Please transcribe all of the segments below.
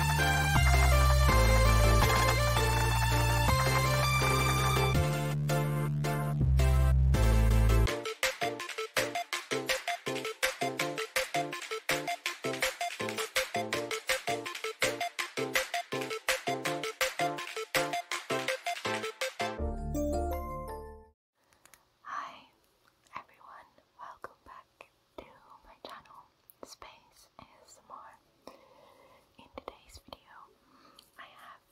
Hi everyone, welcome back to my channel Space ASMR. In today's video I have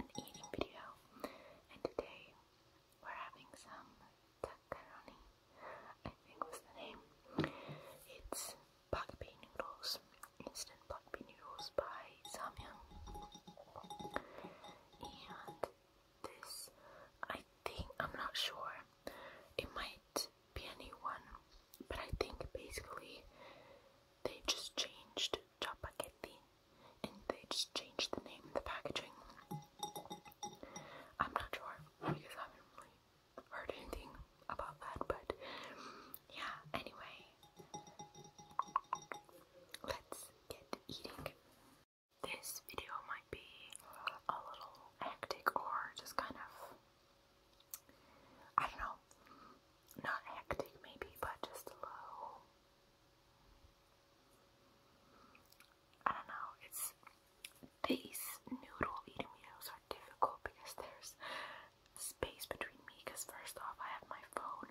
an eating video and today we're having some takaroni, I think was the name. It's bak pea noodles, instant bak pea noodles by Samyang. And this. I think I'm not sure. It might be a one, but I think basically they just changed Chapagetti and they just changed the name and the packaging. I'm not sure because I haven't really heard anything about that, but yeah, anyway, let's get eating this video might be a little hectic or just kind of, I don't know, not hectic maybe, but just a little, I don't know, it's, these noodle eating videos are difficult because there's space between me because first off I have my phone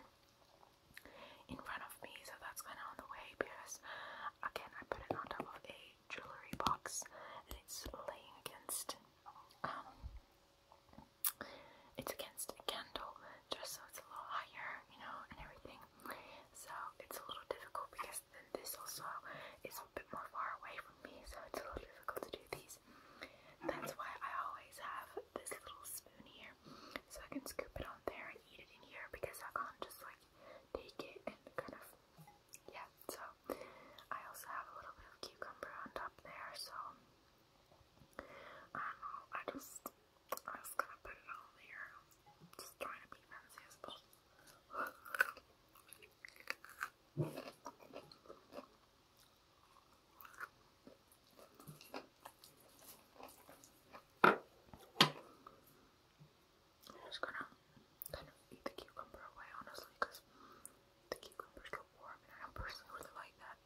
in front of me so that's kind of on the way because Again, I put it on top of a jewelry box, and it's laying against. Um, it's against a candle, just so it's a little higher, you know, and everything. So it's a little difficult because then this also is a bit more far away from me, so it's a little difficult to do these. That's why I always have this little spoon here, so I can scoop it on there and eat it in here because I can't just like take it and kind of, yeah, so I also have a little bit of cucumber on top there, so I don't know, I just, I was gonna put it all there, am just trying to be fancy as possible. I'm just gonna kind of eat the cucumber away, honestly, because the cucumber's so warm and I personally really like that.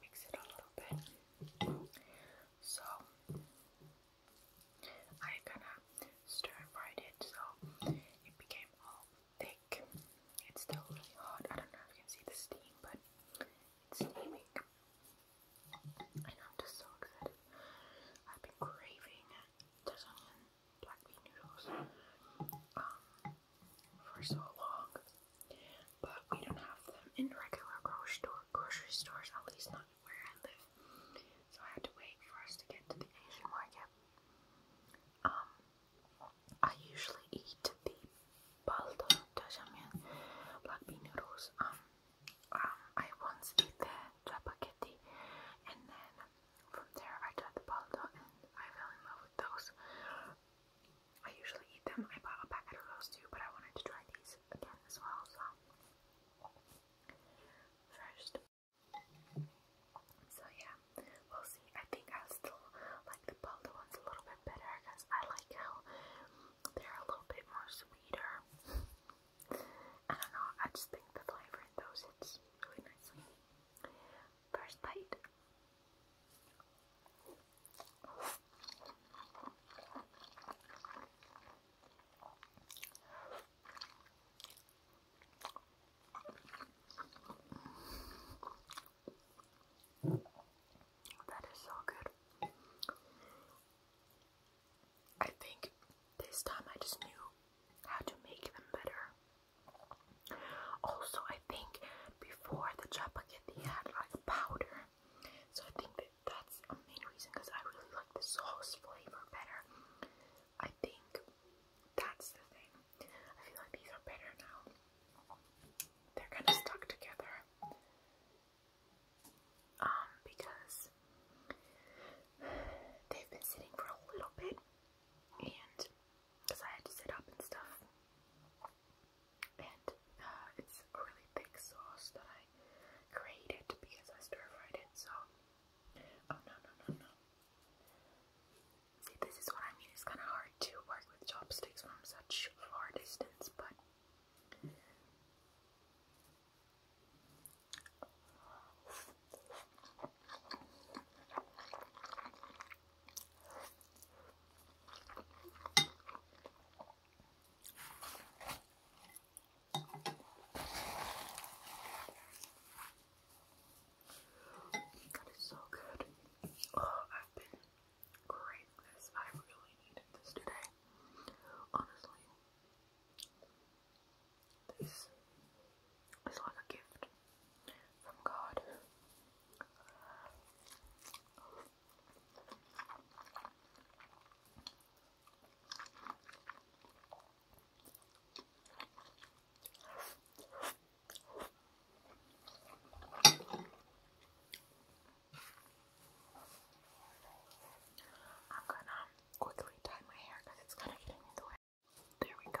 mix it a little bit. So I kind of stir fried it so it became all thick. It's still really hot. I don't know if you can see the steam, but it's steaming. And I'm just so excited. I've been craving Tasmanian black bean noodles um, for so long, but we don't have them in regular grocery, store, grocery stores, at least not where I live. So I had to wait for us to get to the Asian market. Um, I usually eat the baldo jajangmyeon black bean noodles. Um, um I once ate the chapaghetti, and then from there I tried the baldo, and I fell in love with those. I usually eat them. I bought a packet of those too, but I wanted to try these again as well. So first, so yeah, we'll see. I think I still like the Baldo ones a little bit better because I like how they're a little bit more sweeter. I don't know, I just think the flavor in those hits really nicely. First bite. That is so good. I think this time I just knew how to make them better. Also, I think before the chapaghetti had like powder, so I think that that's a main reason because I really like the sauce flavor better. I think that's the thing. I feel like these are better now. They're kind of stuck together. Um, because they've been sitting for a little bit and because I had to sit up and stuff. And uh, it's a really thick sauce that I created because I stir fried it, so. Oh no, no, no, no. See, this is what I mean. It's kind of hard to work with chopsticks from such far distance, but that is so good. Oh, I've been craving this. I really needed this today. Honestly, this is like a gift from God. I'm gonna quickly tie my hair because it's kind of getting in the way. There we go.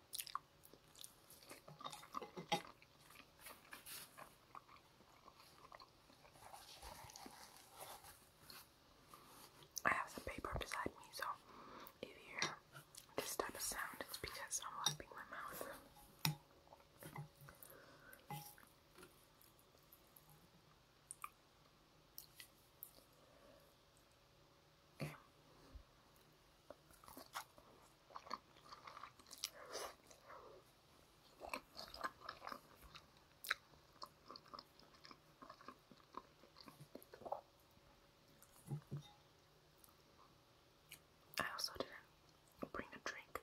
I have some paper beside me, so if you hear this type of sound, it's because I'm wiping my mouth. I also didn't bring a drink.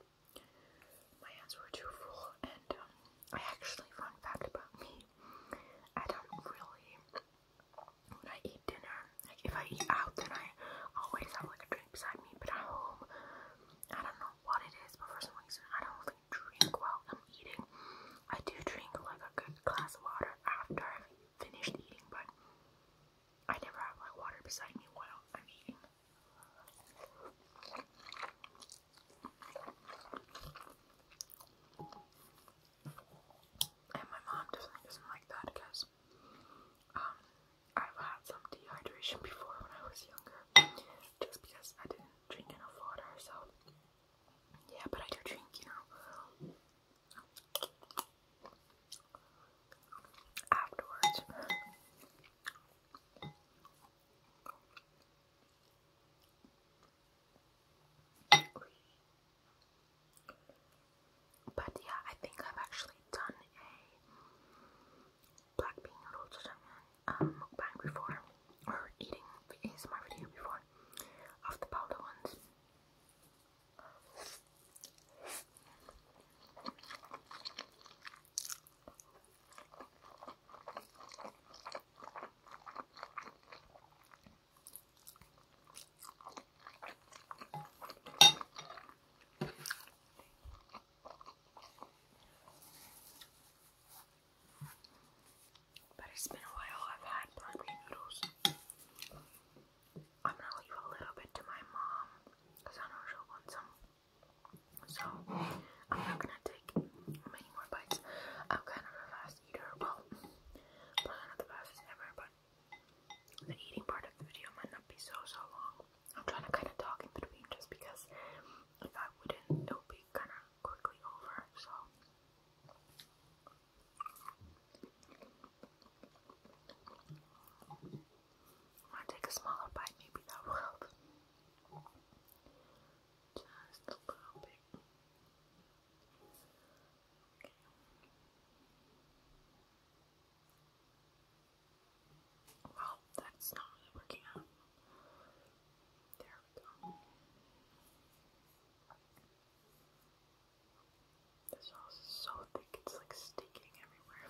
My hands were too full, and um, I actually, fun fact about me, I don't really when I eat dinner, like if I eat out, then I always have like a drink beside me. But at home, I don't know what it is, but for some reason, I don't really drink while I'm eating. I do drink like a good glass of water after I've finished eating, but I never have like water beside me while I'm eating. And my mom definitely doesn't like that because um, I've had some dehydration before when I was younger just because I didn't drink enough water. So, yeah, but I do drink, you know, afterwards. But yeah, I think I've actually done a black bean roll um, mukbang before, or eating my video before, of the powder ones. But it's been a while I've had black noodles. I'm gonna leave a little bit to my mom because I know she'll want some. So I'm not gonna take many more bites. I'm kind of fast. Well, not the fastest ever, but the eating part of the video might not be so, so long. I'm trying to kind of talk in between just because if I wouldn't, it would be kind of quickly over, so. i take a smaller bite, maybe that will help. Just a little bit. Well, that's not working out. There we go. The sauce is so thick, it's like sticking everywhere.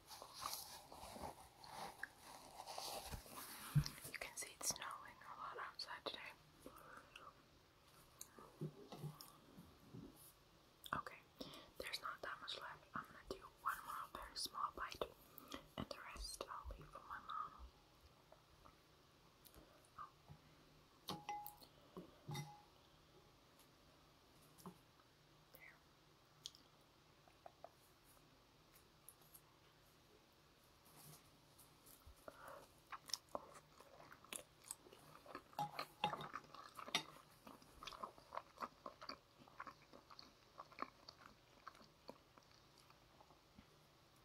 You can see it's snowing a lot outside today. Okay, there's not that much left. I'm gonna do one more very small bite, and the rest I'll leave for my mom. There.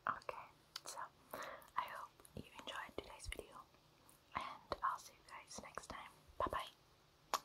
Okay, so I hope you enjoyed today's video, and I'll see you guys next time. Bye bye.